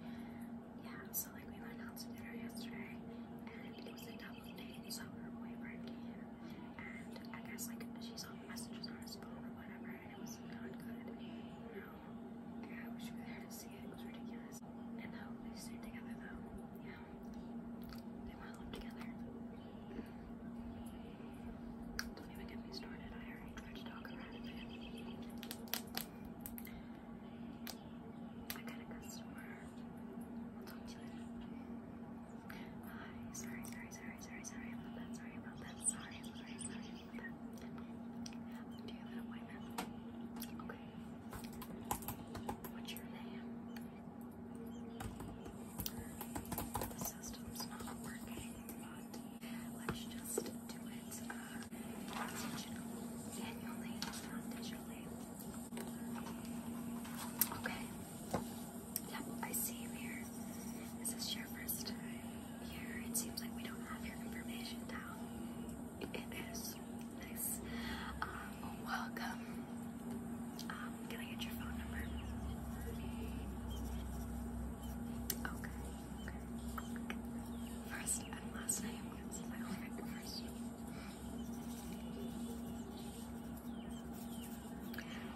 Yeah, so like we went out to dinner yesterday and it was a double date, so her boyfriend came and I guess like she saw messages on his phone or whatever and it was not good. No. Yeah, I wish we were there to see it. It was ridiculous. And how they stayed together though. Yeah. They want to live together. Don't even get me started. I already tried to talk about it. I got a customer. I'll talk to you later. Hi, sorry, sorry, sorry, sorry, sorry about that, sorry about that, sorry, sorry, sorry about that. Do you have an appointment? Okay. What's your name? The system's not working body. Let's just do it uh, digital, manually, Okay. Yep, I see you here. Is this your first time here? It seems like we don't have your information down. It is. Nice. Um, welcome. Um, can I get your phone number? Okay, First and last name. I'm gonna see my friend first.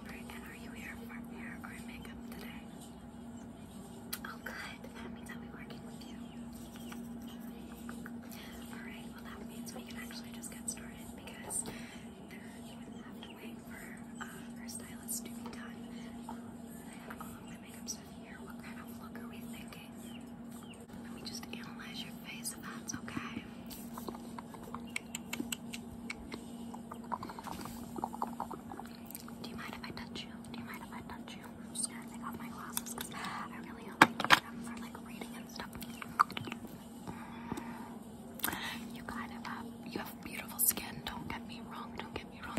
Right, and are you here for hair or makeup today? Oh, good. That means I'll be working with you. Alright, well, that means we can actually just get started because there, you would for uh, our stylist to be done. Um, let me just analyze your face if that's okay. Do you mind if I touch you? Do you mind if I touch you? am just gonna take off my glasses I really do them for like reading and stuff. You have, beautiful skin, don't get me wrong, don't get me wrong,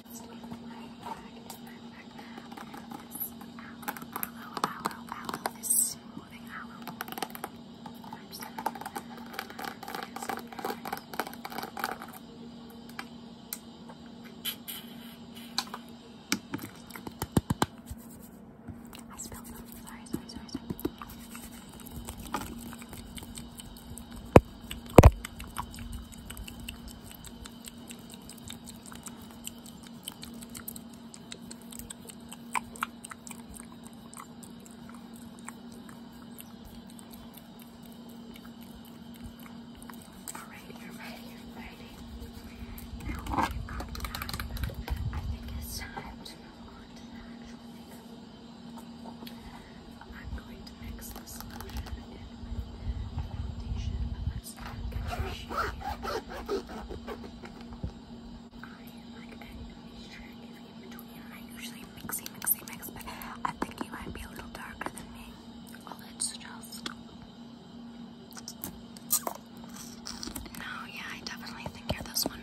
I'm spilled them. Sorry, sorry, sorry, sorry. Alright, you're ready, you're ready. Now that you've got that, I think it's time to move on to the actual makeup. I'm going to mix this lotion in with foundation, but let's get your shade I am like a new in between. I usually mixy, mixy, mix, but I think you might be a little darker than me. Well, it's just. No, yeah, I definitely think you're this one.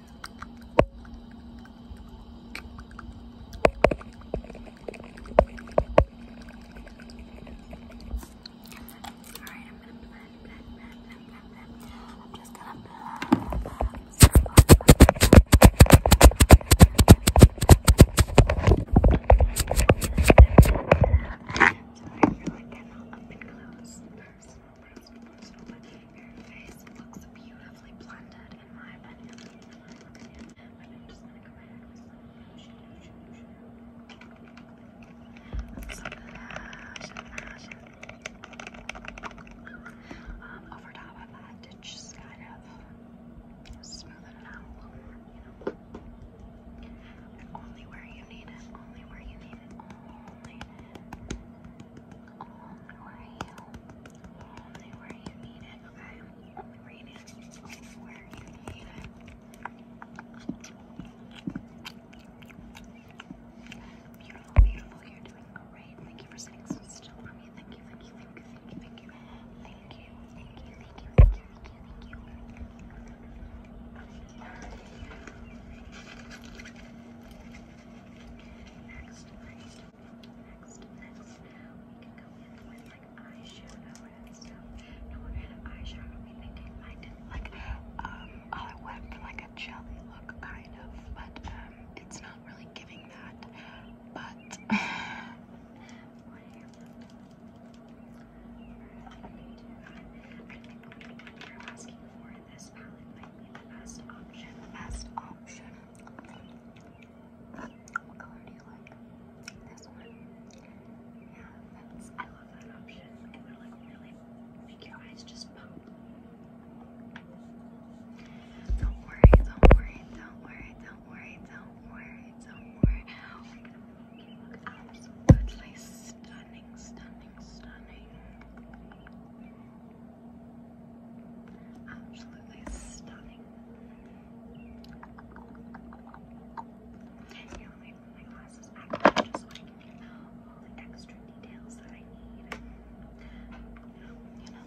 Alright, I'm gonna blend, blend, blend, blend, blend, blend. I'm just gonna blend, blend. Sorry for like an up and close person eyebrows looks beautifully blended, in my opinion. over top of that to just kind of smooth it out a little more, you know. only where you need it, only where you need it, only. Only where you, only where you need it, okay? Only where you need it, you need it. Beautiful, You're doing great. Thank you for sitting so still for me. thank you, thank you, thank you, thank you, thank you, thank you, thank you, thank you. Next, next, next, next. We can go in with like eyeshadow No, we're gonna eyeshadow. We thinking like, like, um, I went for like a jelly look kind of, but um, it's not really giving that. But this palette might be the best option. The best option. What color do you like? This one? Yeah, that's, I love that option. It would like really make your eyes just pop. Don't worry, don't worry, don't worry, don't worry, don't worry, don't worry. We're gonna make you look absolutely stunning, stunning stunning. Absolutely stunning. Yeah, let put my glasses back just so I can get all the extra details that I need. You know.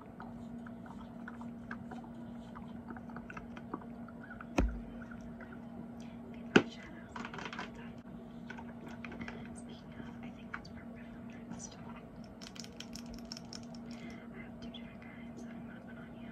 Speaking of, I think that's where we're going to next. I have two different kinds that I'm going to put on you.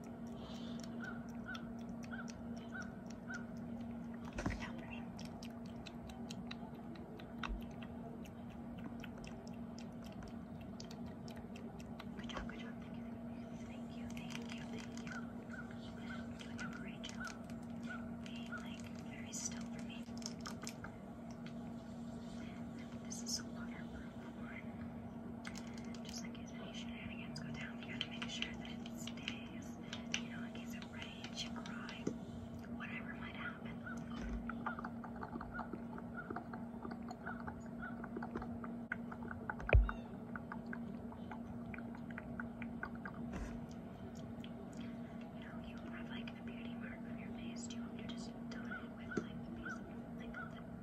Good job, good job. Thank you, thank you, thank you. Good job, Rachel. Being like very still for me. This is so hard floorboard. Just in case any shenanigans go down, you gotta make sure that it stays. You know, in case it rains, you cry, whatever might happen. You know, you have like a beauty mark on your face. Do you want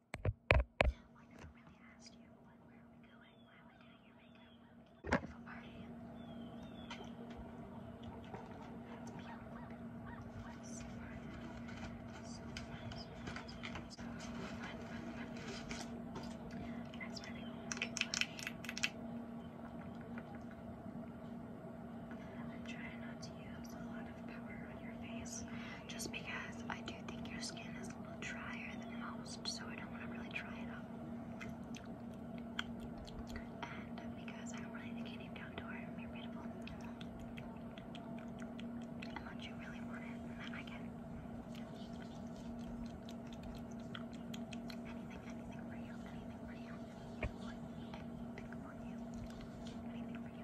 I never really asked you, but where are we going? Why are we doing your makeup? Beautiful party. That's beautiful. What is so far now? So fun. So fun, fun, fun. That's where they all Try not to use a lot of powder on your face just because I do think your skin is a little drier than most, so I don't want to really try it out. And because I don't really think you need outdoor and unless you really want it, then I can anything, anything for you, anything for you, anything for you, anything for you.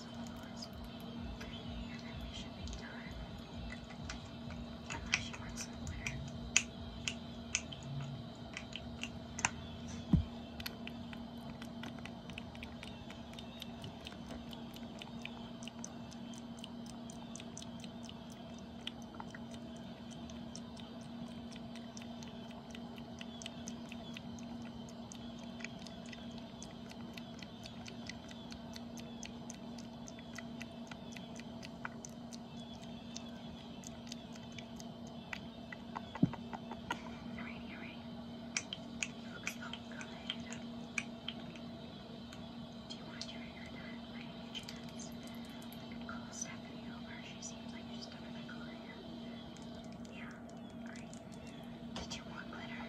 just a little less. And then we should be done. Unless you want some glitter. All right, all right. Looks all good. Do you want your hair done by any chance? I could call Stephanie over. She seems like she's done with my color hair. Yeah, did you want glitter?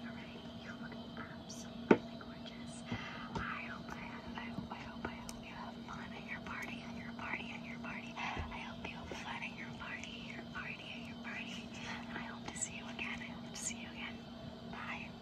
Alright, you look absolutely gorgeous. I hope I hope, I hope, I hope you have fun at your party, at your party, at your party. I hope you have fun at your party, your party, at your party. I hope to see you again. I hope to see you again. Bye.